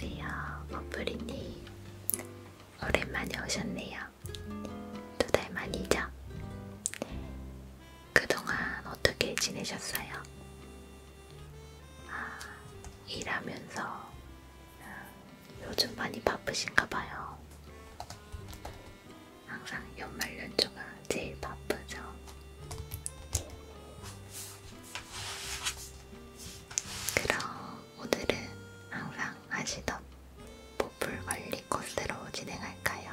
안녕하세요, 버프리님. 오랜만에 오셨네요. 두 달 만이죠? 그동안 어떻게 지내셨어요? 아, 일하면서 아, 요즘 많이 바쁘신가 봐요. 항상 연말 연초가 제일 바쁘죠. 그럼 오늘은 항상 하시던 보풀 관리 코스로 진행할까요?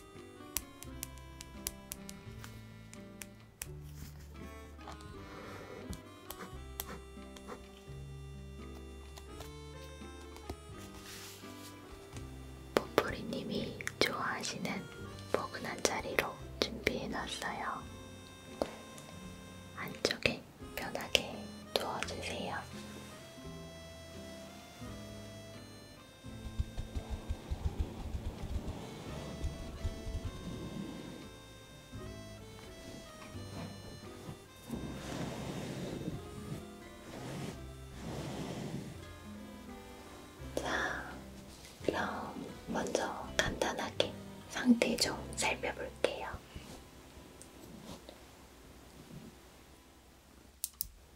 보풀이님이 좋아하시는 포근한 자리로 준비해놨어요. 안쪽에 편하게 누워주세요. 자, 그럼 먼저 간단하게 상태 좀 살펴볼게요.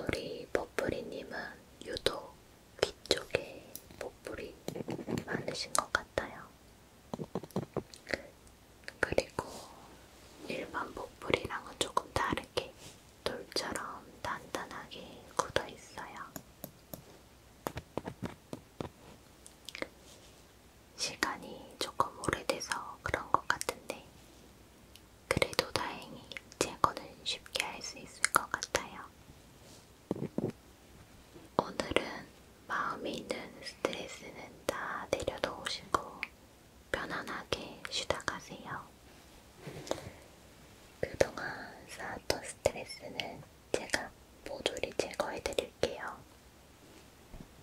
우리 버프리님은 유독 귀 쪽에 보풀이 많으신 것 같아요. 그리고 일반 보풀이랑은 조금 다르게 돌처럼 단단하게 굳어 있어요. 시간이 조금 오래돼서 그런 것 같은데, 그래도 다행히 제거는 쉽게 할 수 있을 것 같아요. 오늘은 마음에 있는 스트레스는 다 내려놓으시고 편안하게 쉬다 가세요. 그동안 쌓았던 스트레스는 제가 모조리 제거해 드릴게요.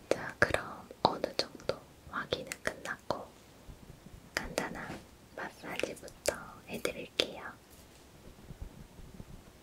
자, 그럼 어느 정도 확인은 끝났고 간단한 마사지부터 해드릴게요.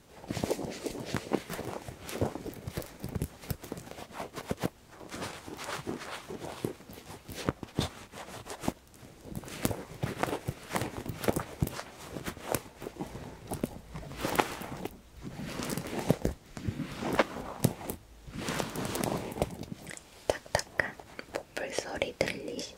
딱딱한 목불 소리 들리시죠?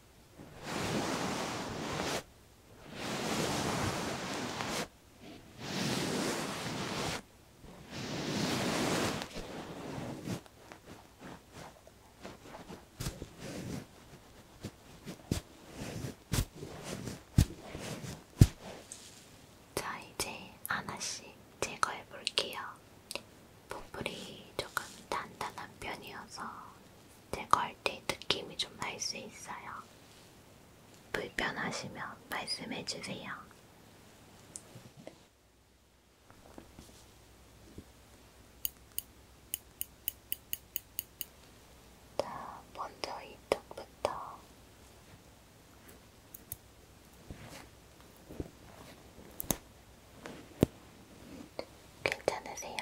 자, 이제 하나씩 제거해 볼게요. 보풀이 조금 단단한 편이어서 제거할 때 느낌이 좀 날 수 있어요. 불편하시면 말씀해주세요. 자, 먼저 이쪽부터. 괜찮으세요?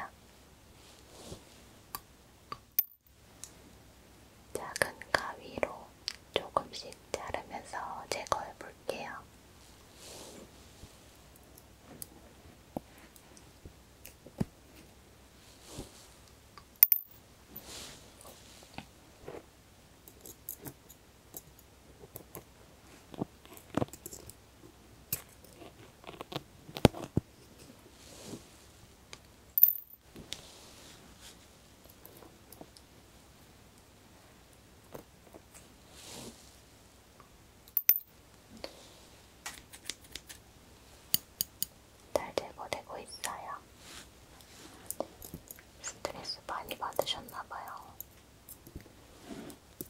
작은 가위로 조금씩 자르면서 제거해 볼게요. 잘 제거되고 뭐 있어요. 스트레스 많이 받으셨나봐요.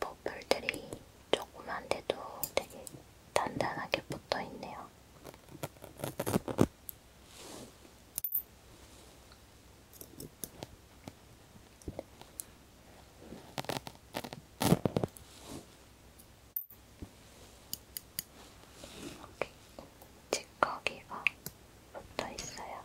버플들이 조그만데도 되게 단단하게 붙어 있네요. 이렇게 찌꺼기가 붙어 있어요.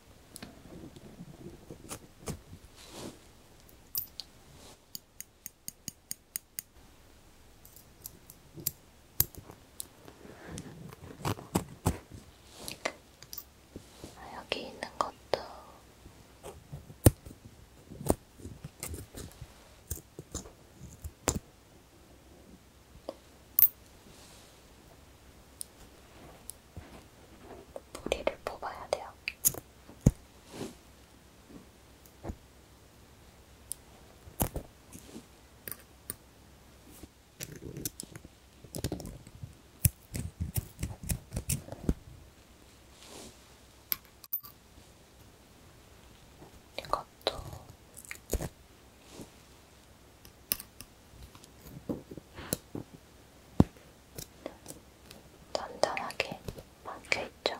아, 여기 있는 것도 뿌리를 뽑아야 돼요. 이것도 단단하게 박혀있죠.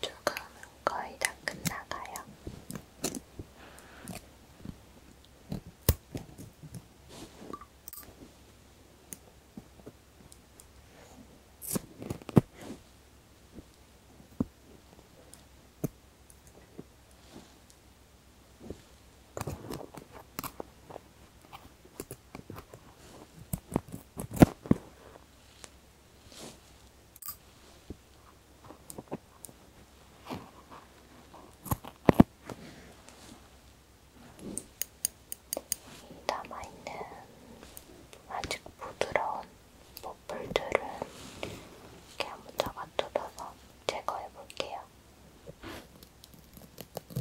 이쪽은 거의 다 끝나가요. 남아있는 아직 부드러운 머플들은 이렇게 한번 잡아뜯어서 제거해볼게요.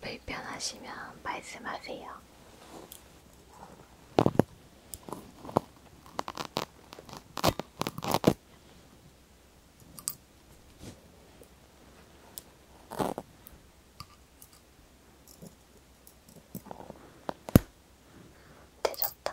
불편하시면 말씀하세요. 되졌다.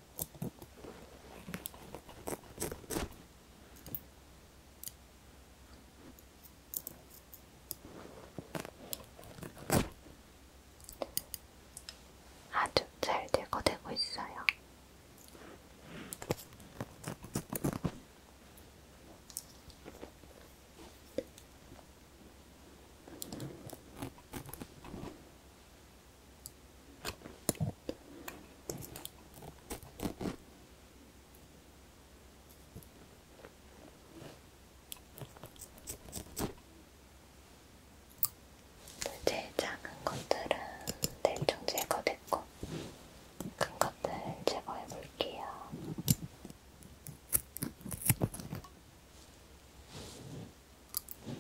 아주 잘 제거되고 있어요. 이제 작은 것들은 대충 제거됐고 큰 것들 제거해 볼게요.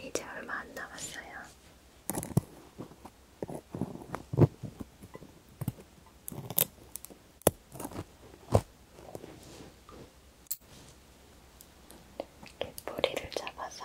이제 얼마 안 남았어요. 이렇게 뿌리를 잡아서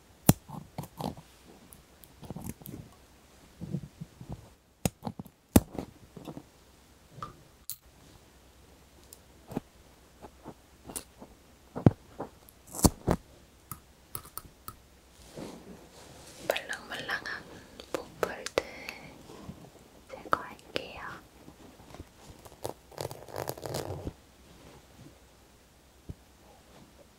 말랑말랑한 보풀들 제거할게요.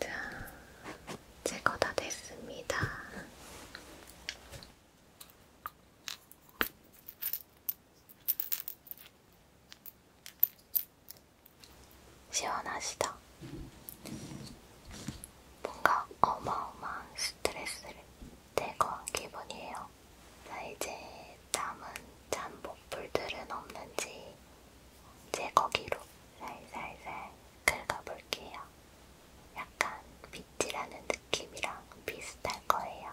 자, 제거 다 됐습니다. 시원하시다. 뭔가 어마어마한 스트레스를 제거한 기분이에요. 자, 이제 남은 잠복불들은 없는지 이제 거기로 살살살 긁어볼게요. 약간 빗질하는 느낌이랑 비슷할 거예요.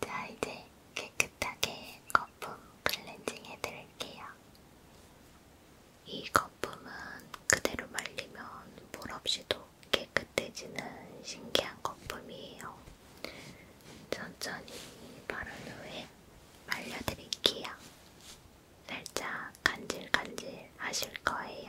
자, 이제 깨끗하게 거품 클렌징 해드릴게요. 이 거품은 그대로 말리면 물 없이도 깨끗해지는 신기한 거품이에요. 천천히 바른 후에 말려드릴게요. 살짝 간질간질 하실 거예요.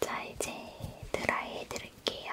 자, 이제 드라이 해드릴게요.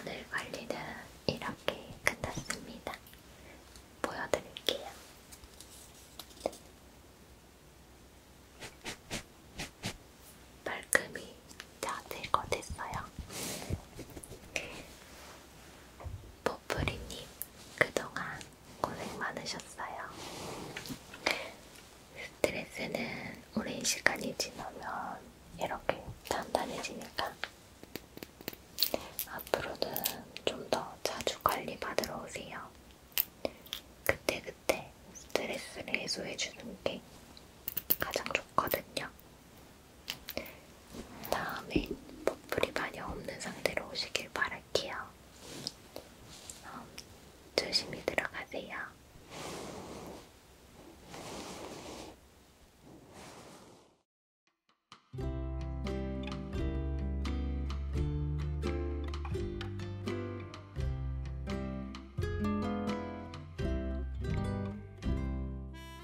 오늘 관리는 이렇게 끝났습니다. 보여드릴게요. 말끔히 다 제거됐어요. 보프리님 그동안 고생 많으셨어요. 스트레스는 오랜 시간이 지나면 이렇게 단단해지니까 앞으로는 좀 더 자주 관리 받으러 오세요. 그때그때 그때 스트레스를 해소해주는 게 가장 좋거든요. 다음에 머플이 많이 없는 상태로 오시길 바랄게요. 어, 조심히 들어가세요.